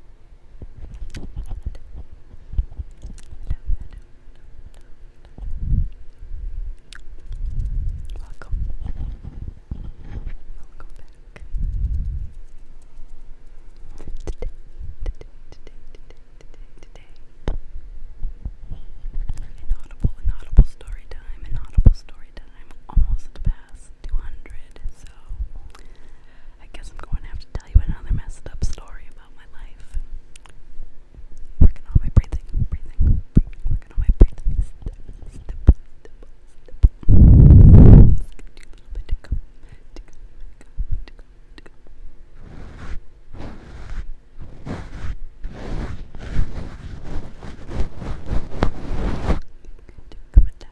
Welcome. Welcome back. Today, today, today, today, today, today. Inaudible, inaudible story time, inaudible story time. Almost past 200, so I guess I'm going to have to tell you another messed up story about my life. Working on my breathing, breathing, breathing working on my breathing. Step, step, step, step. Let's get you a little bit to come, to come, to come, to come. Come down,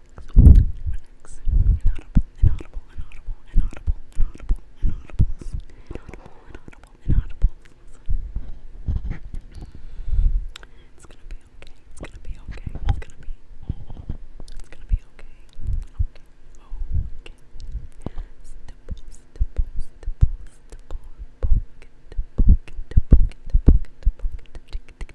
relax, relax. Inaudible, inaudible, inaudible, inaudible, inaudible, inaudible, inaudible, inaudible, inaudible. It's gonna be okay. It's gonna be okay. It's gonna be. It's gonna be okay. Okay. Okay. Stipple, stipple, stipple, stipple. Poke it, poke it, poke it, poke it, poke it. Tick, tick,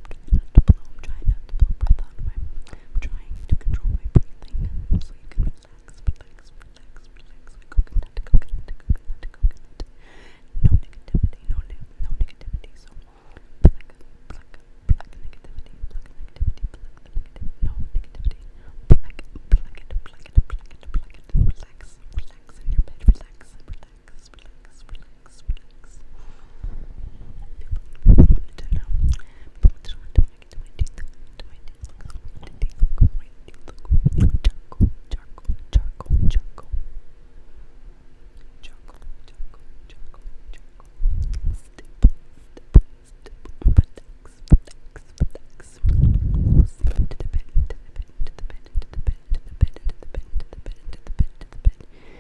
try not to blow, I'm trying not to blow breath out of my mouth. I'm trying to control my breathing so you can relax, relax, relax, relax. Coconut, coconut, coconut, coconut. No negativity, no, no negativity. So pluck, pluck, pluck negativity, pluck negativity, pluck the negative, no negativity. Pluck, pluck it, pluck it, pluck it, pluck it. Relax, relax in your bed, relax, relax relax, relax, relax, relax. People wanted to know. People wanted to know do I get to my teeth? Do my teeth look my teeth look my teeth look charcoal, charcoal, charcoal, charcoal. Charcoal, charcoal, charcoal, charcoal. Step, step, step. Relax, relax, relax. Slip into the bed, into the bed, into the bed, into the bed, into the bed, into the bed, into the bed, into the bed, into the bed.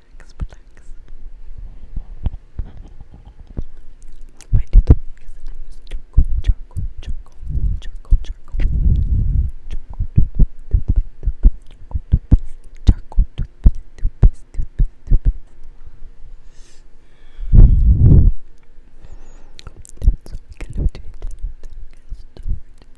relax, relax. My little dog is choco, choco, choco, choco, choco, choco, choco, so we can do it.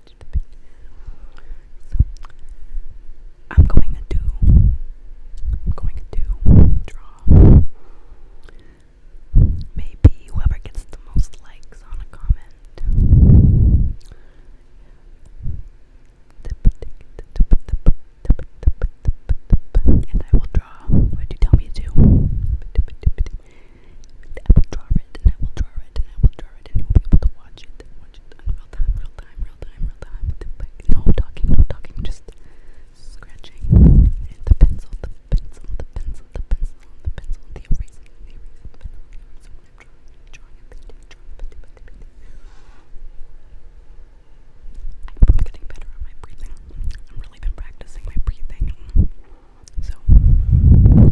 so I'm going to do I'm going to draw maybe whoever gets the most likes on a comment. And I will draw what you tell me to. I will draw it, and I will draw it, and I will draw it, and you will be able to watch it watch real time, real time, real time, real time. No talking, no talking, just scratching. the pencil, the pencil, the pencil, the pencil, the pencil, the erasing, the the pencil, the I'm getting better at my breathing. I've really been practicing my breathing. So.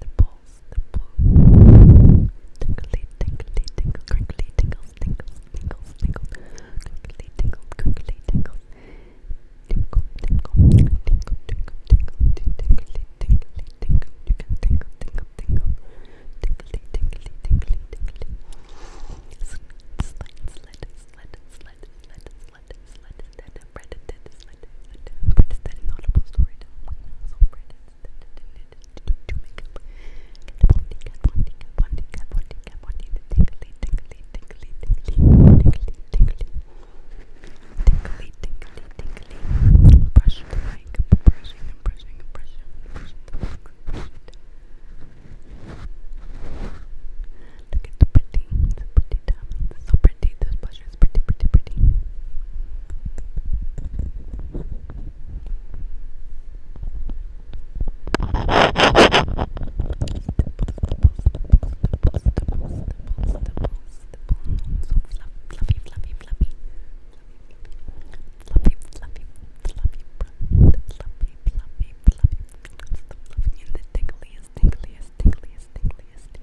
the balls, the balls. Tinkly, tinkly, tinkle, crinkly, tingles, tingles, tingles, tingles, crinkly, tingle, crinkly, tingles. Tinkle, tinkle, tinkle, tinkle, tinkle, tinkly, tinkly, tinkle. You can tingle, tingle, tingle, tinkly, tinkly, tinkly, tinkly. Slide, slide, slide, slide, slide, slide, lettuce, lettuce, lettuce, bread, lettuce, lettuce, lettuce, bread, that is not a post story so bread, to make up, cat bondi, cat bondi, cat bondi, cat bondi, cat bondi, tingly, tingly, tingly, tingly, tingly, tingly, tingly, tingly, tingly, brush the mic, brushing and brushing and brushing, brushing the mic, brushing the mic. Look at the pretty, the pretty diamonds. so pretty. This blusher is pretty, pretty, pretty. So fluffy, fluffy, fluffy. Fluffy, fluffy, fluffy, fluffy, fluffy, fluffy, fluffy, fluffy, fluffy, and the tingliest, tingliest, tingliest, tingliest,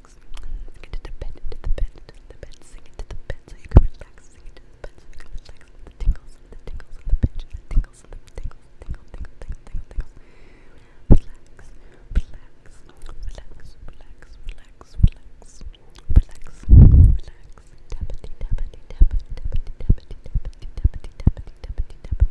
six. Sing it to the bed, to the bed, to the bed. Sing it to the bed so you can relax. Sing it to the bed so you can relax. The tingles and the tingles and the pinches, the tingles and the tingles, tingle, tingle, tingle, tingle, tingle. Relax, relax, relax, relax, relax, relax, relax, relax. Tappity, tappity, tap, tappity, tappity, tappity, tappity, tappity, tappity, tappity, tap.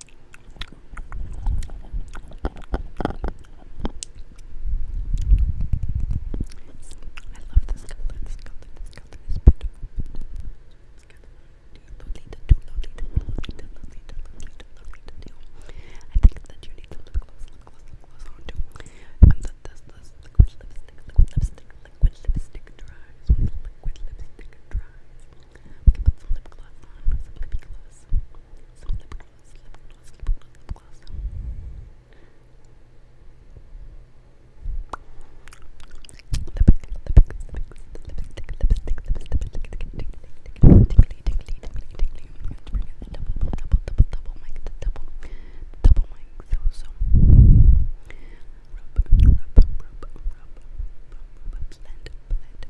I love this color, this color, this color is beautiful. Lolita, do Lolita, Lolita, Lolita, Lolita, Lolita, do. I think that you need to look close, look close, look close on too. When the, this, this liquid lipstick, liquid lipstick, liquid lipstick dries, when the liquid lipstick dries, we can put some lip gloss on, some lip gloss, some lip gloss, lip gloss, lip gloss, lip gloss. Blend, blend,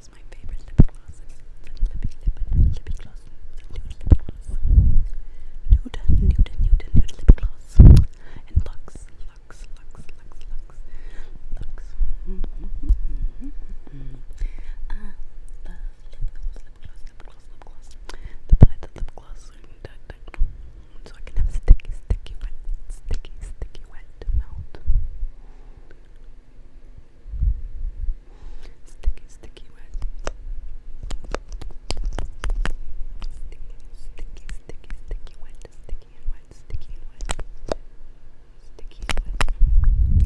is my favorite lip gloss. It's lippy, lippy, lippy gloss. Nude lip gloss. Nude, nude, nude, nude lip gloss. And Lux, Lux, Lux, Lux, Lux, Lux. Mm -hmm, mm -hmm, mm -hmm. I love lip gloss, lip gloss, lip gloss, lip gloss. To buy the lip gloss and, uh, so I can have sticky, sticky wet, sticky, sticky wet melt. Sticky, sticky wet. Sticky, sticky, sticky, sticky wet. Sticky and wet. Sticky and wet. Sticky and wet.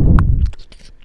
Sticky and wet.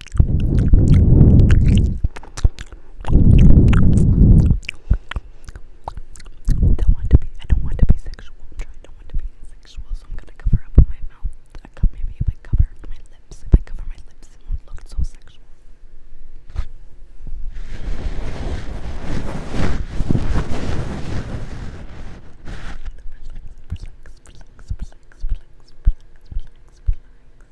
don't want to be I don't want to be sexual. I'm trying don't want to be sexual, so I'm gonna cover up my mouth. I cut maybe if I cover my lips. If I cover my lips it won't look so sexual. Relax, relax, relax, relax, relax, relax, relax, relax.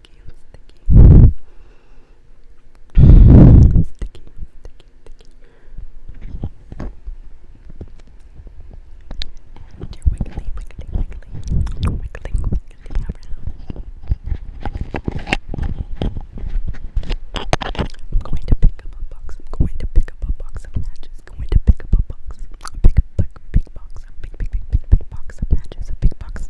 sticky sticky. Sticky, sticky, sticky. And you're wiggly, wiggly, wiggly. Wiggling, wiggling around. I'm going to pick up a box. I'm going to pick up a box of matches. I'm going to pick up a box. A big, big, big box. A big, big, big, big, big box of matches. A big box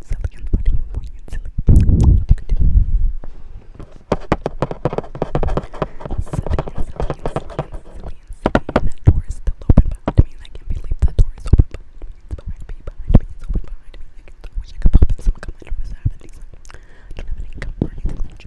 so silly and funny and funny and silly. What you could do. Silly and silly and silly and silly and silly. And that door is still open behind me and I can't believe that door is open behind me. It's behind me, behind me, it's open behind me. I, can, I wish I could pop in some gum. I don't have any gum. I don't have any gum or anything like that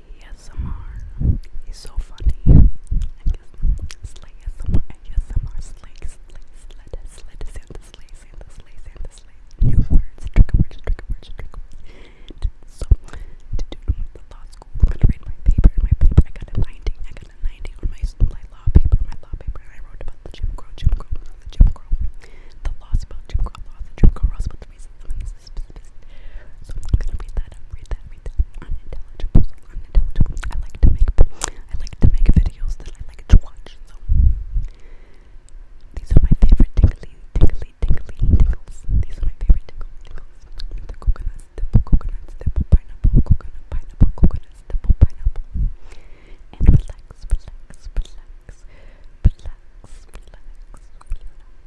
ASMR. He's so funny. I guess Slay ASMR, ASMR, Slay, Slay, Slay, Slay, Santa, Slay, Santa, Slay, Santa, Slay. New words, trigger words, trigger words, trigger words. So, to the law school, I'm gonna read my paper. My paper, I got a 90. I got a 90 on my, my law paper, my law paper, I wrote about the Jim Crow, Jim Crow, the Jim Crow, the laws about Jim Crow laws, the Jim Crow laws about the reason. So I'm gonna read that read that, Unintelligible, unintelligible. I like to make, I like to make videos that I like to watch. So these are my favorite tingly, tingly, tingly tingles. These are my favorite tingles, tingles. The coconut stipple, coconut stipple, pineapple, coconut, pineapple, coconut stipple, pineapple. And relax, relax, relax, relax, relax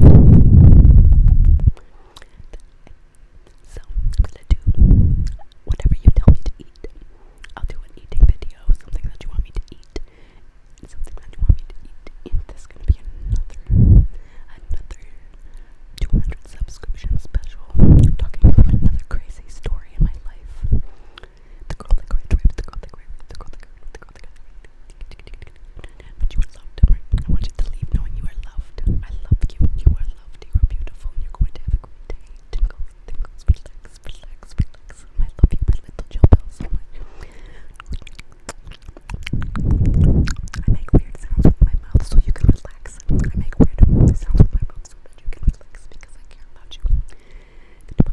So I'm gonna do whatever you tell me to eat. I'll do an eating video, something that you want me to eat, something that you want me to eat. And there's gonna be another, another 200 subscription special. talking about another crazy story in my life. The girl that graduated, the girl that graduated, the girl that graduated, but you are loved, right? I want you to leave knowing you are loved. I love you. You are loved. You are beautiful. And you're going to have a great day. Tingles, tingles, relax, relax, relax. And I love you, my little Jill Bell, so much. I make weird sounds with my mouth so you can relax. I make weird sounds with my mouth so that you can relax because I care about you. Goodbye